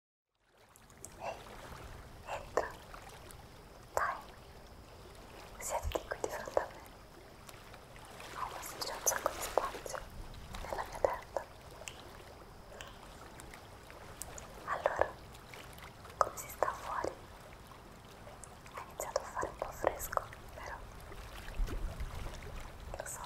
Ehi, ecco. entra. Dai, siediti qui di fronte a me. Ho messo già un sacco di spazio nella mia tenda. Allora, come si sta fuori? Ha iniziato a fare un po' fresco, vero? Lo so,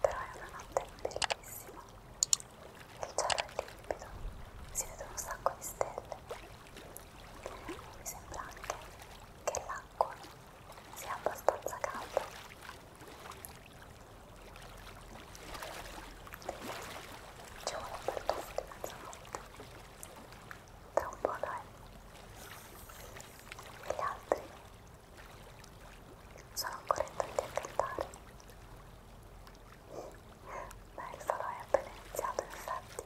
però è una notte bellissima il cielo è limpido, si vedono un sacco di stelle. Mi sembra anche che l'acqua sia abbastanza calda. C'è un apertuffo di mezzanotte. Tra un po' dai. Gli altri sono ancora in tanti a cantare. Beh, il falò è appena iniziato, in effetti.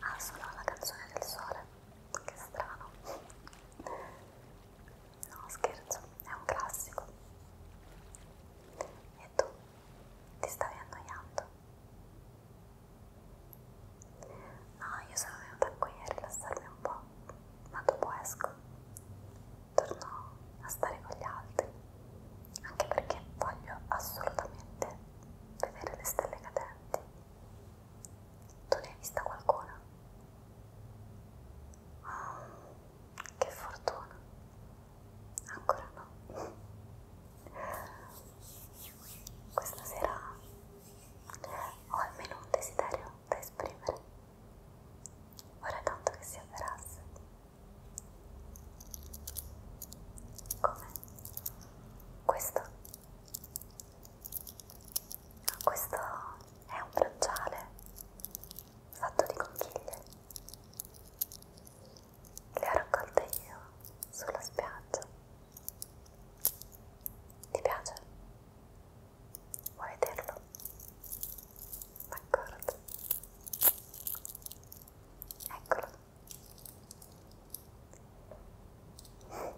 Ah, solo la canzone del sole. Che strano. No, scherzo, è un classico. E tu ti stavi annoiando? No, io sono venuta qui a rilassarmi un po' po', ma dopo esco, torno a stare con gli altri, anche perché voglio assolutamente vedere le stelle cadenti. Tu ne hai vista qualcuna? Oh, che fortuna! Ancora no. Questa sera ho almeno un desiderio da esprimere. Vorrei tanto che si avverasse. Come? Questo? Questo è un bracciale fatto di conchiglie. Le ho raccolte io sulla spiaggia. Ti piace? Vuoi vederlo? D'accordo. Eccolo. E eh,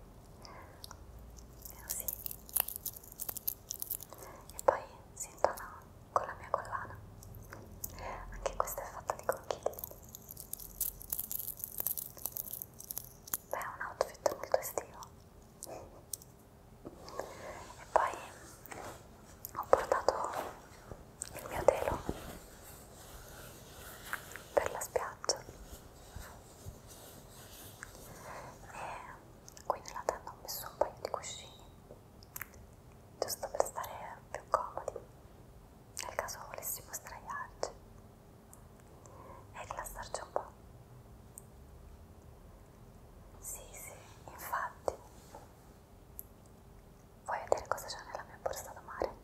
così. Oh, e poi si intona con la mia collana. Anche questa è fatta di conchiglie. Beh, è un outfit molto estivo e poi ho portato il mio telo per la spiaggia e qui nella tenda ho messo un paio di cuscini giusto per stare più comodi nel caso volessimo straiarci e rilassarci un po'. Sì, sì, infatti. Vuoi vedere cosa c'è nella mia borsa da mare?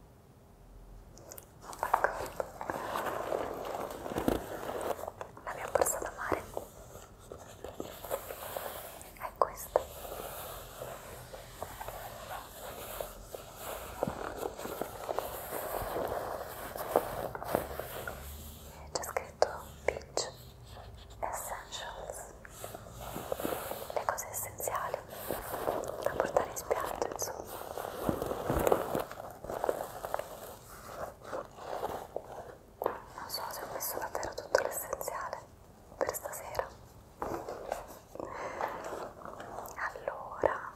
Oh my god! La mia borsa da mare è questa c'è scritto Beach Essentials, le cose essenziali da portare in spiaggia insomma. Non so se ho messo davvero tutto l'essenziale per stasera. Allora,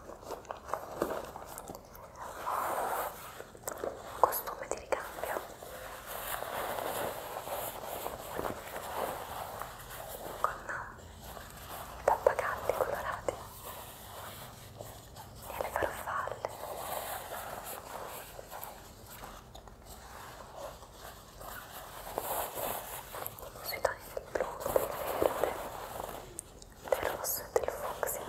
costume di ricambio con i pappagalli colorati e le farfalle sui toni del blu, del verde del rosso e del fucsia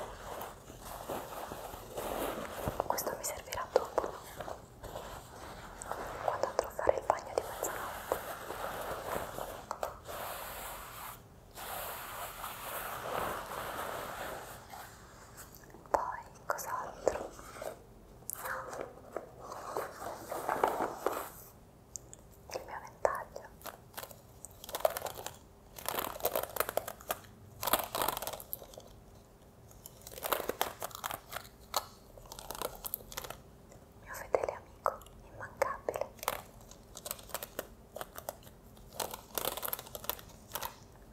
questo mi servirà dopo quando andrò a fare il bagno di mezzanotte poi cos'altro? No il mio ventaglio mio fedele amico immancabile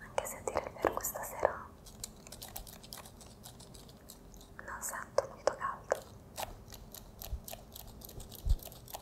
anche se a dire il vero questa sera non sento molto caldo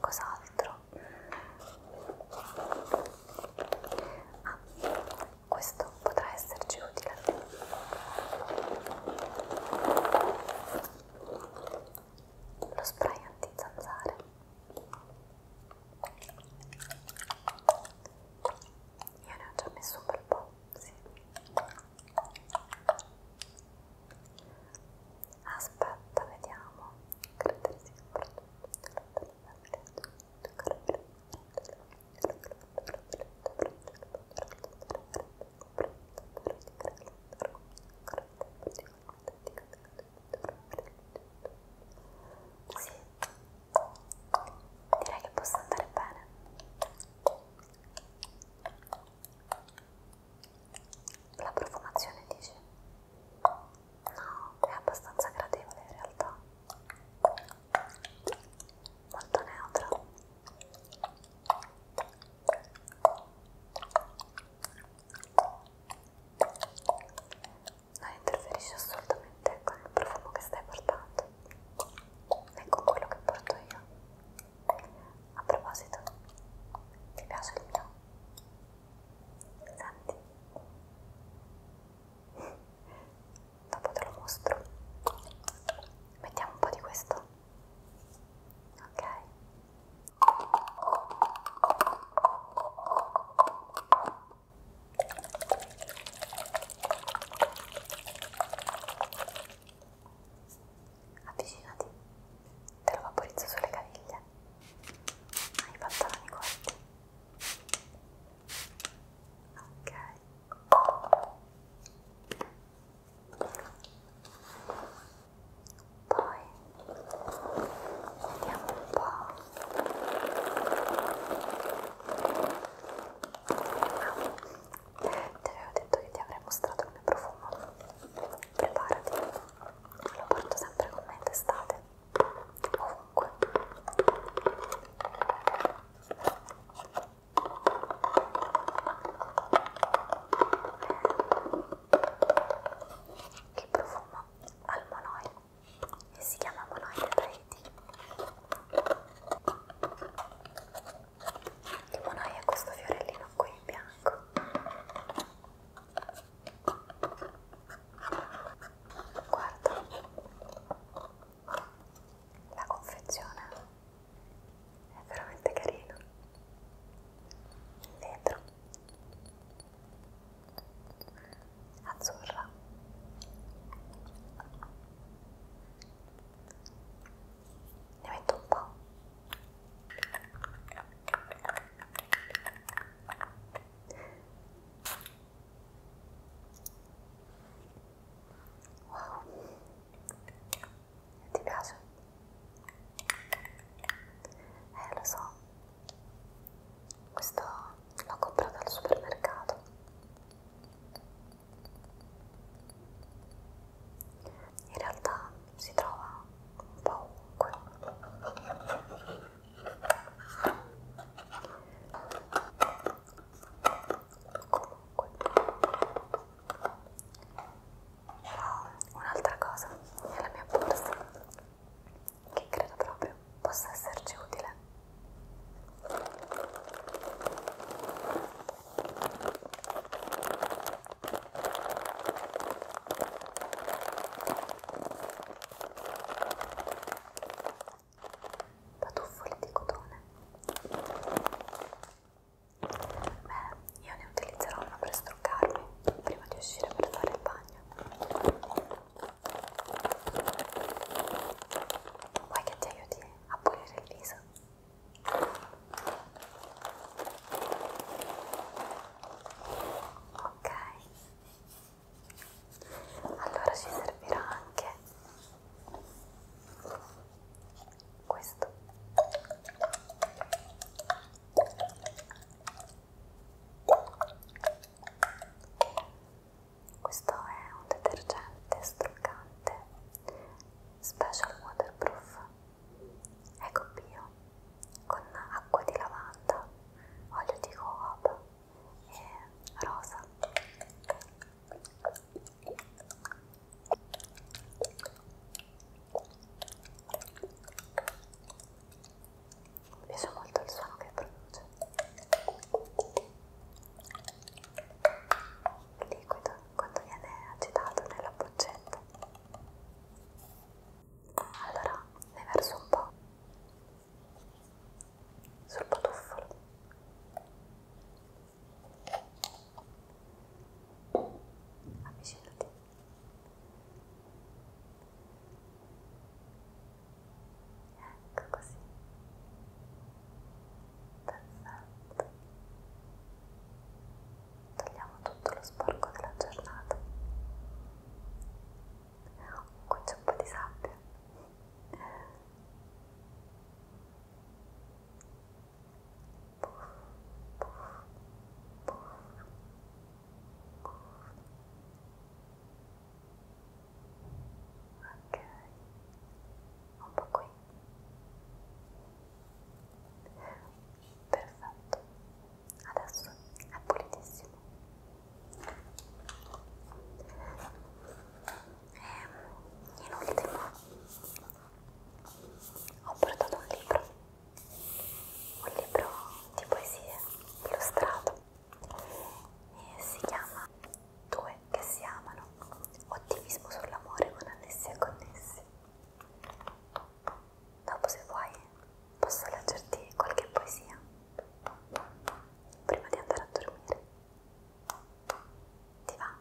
cos'altro? Ah, questo potrà esserci utile. Lo spray antizanzare. Io ne ho già messo un bel po', sì aspetta vediamo caratteristiche sì, direi che possa andare bene la profumazione dice? No, è abbastanza gradevole in realtà. Molto neutra. Non interferisce assolutamente con il profumo che stai portando, né con quello che porto io. A proposito, ti piace il mio? Senti, dopo te lo mostro. Mettiamo un po' di questo. Ok avvicinati, te lo vaporizzo sulle caviglie, hai i pantaloni corti, ok, poi vediamo un po'. Ti avevo detto che ti avrei mostrato il mio profumo. Preparati, lo porto sempre con me in estate, ovunque. Che eh, profumo al monoi e si chiama monoi da Tahiti. Limonaia questo fiorellino qui in bianco. Guarda la confezione è veramente carina. Vetro azzurra ne metto un po' wow ti piace? eh lo so questo l'ho comprato al supermercato in realtà si trova un po' ovunque comunque oh, un'altra cosa nella mia borsa che credo proprio possa esserci utile Patuffoli di cotone. Beh, io ne utilizzerò uno per struccarmi prima di uscire per fare il bagno. Vuoi che ti aiuti a pulire il viso ok allora ci servirà anche questo questo è un detergente struccante Special Waterproof Eco Bio con acqua di lavanda, olio di coop e rosa. Mi piace molto il suono che produce liquido quando viene agitato nella boccetta allora ne verso un po' sul potuffolo avvicinati ecco così perfetto togliamo tutto lo sporco della giornata qui c'è un po' di sabbia puff, puff, puff, puff ok un po' qui perfetto adesso è pulitissimo e ehm, in ultimo ho portato un libro un libro di poesie illustrato e si chiama Due che si amano, ottimismo sull'amore con annessi e connessi. Dopo se vuoi posso leggerti qualche poesia prima di andare a dormire. Ti va?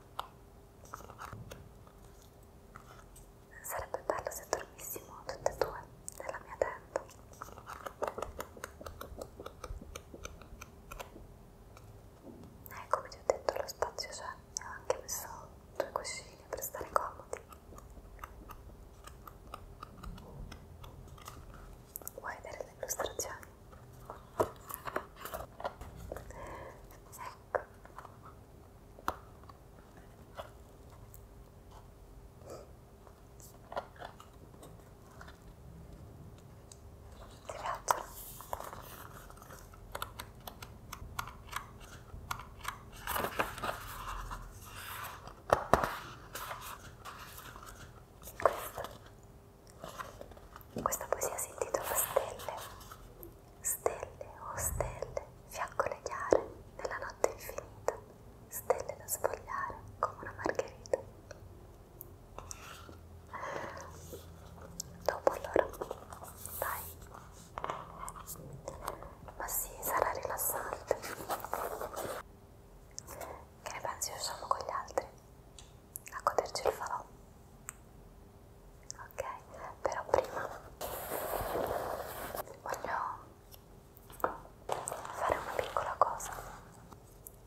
Sarebbe bello se dormissimo tutte e due nella mia tenda. Eh, come ti ho detto lo spazio c'è, ho anche messo due cuscini per stare comodi. Vuoi vedere le illustrazioni? Ecco. Ti piacciono? Questo. Questa poesia si intitola Stelle. Stelle, oh stelle, fiaccole chiare nella notte infinita, stelle da sfogliare come una margherita. Dopo allora, dai, ma sì, sarà rilassante. Che ne pensi? Usciamo con gli altri a goderci il falò. Ok, però prima voglio fare una piccola cosa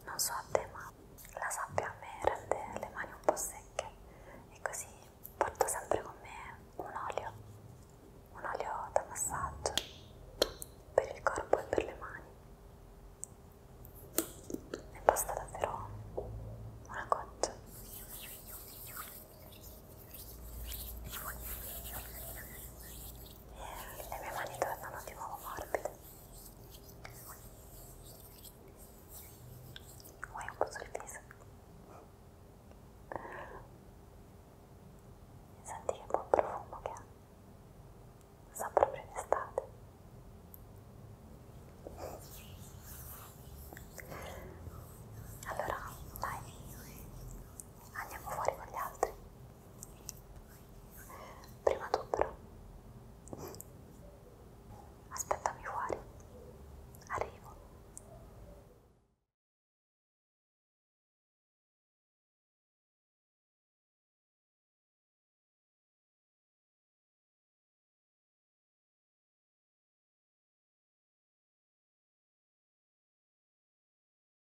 non so a te ma la sabbia a me rende le mani un po' secche e così porto sempre con me un olio un olio da massaggio per il corpo e per le mani e basta davvero una goccia e le mie mani tornano di nuovo morbide. Vuoi un po' sul viso? Senti che buon profumo che ha. Sa proprio in estate. Allora, dai, andiamo fuori con gli altri. Prima tu però. Aspettami fuori. Arrivo.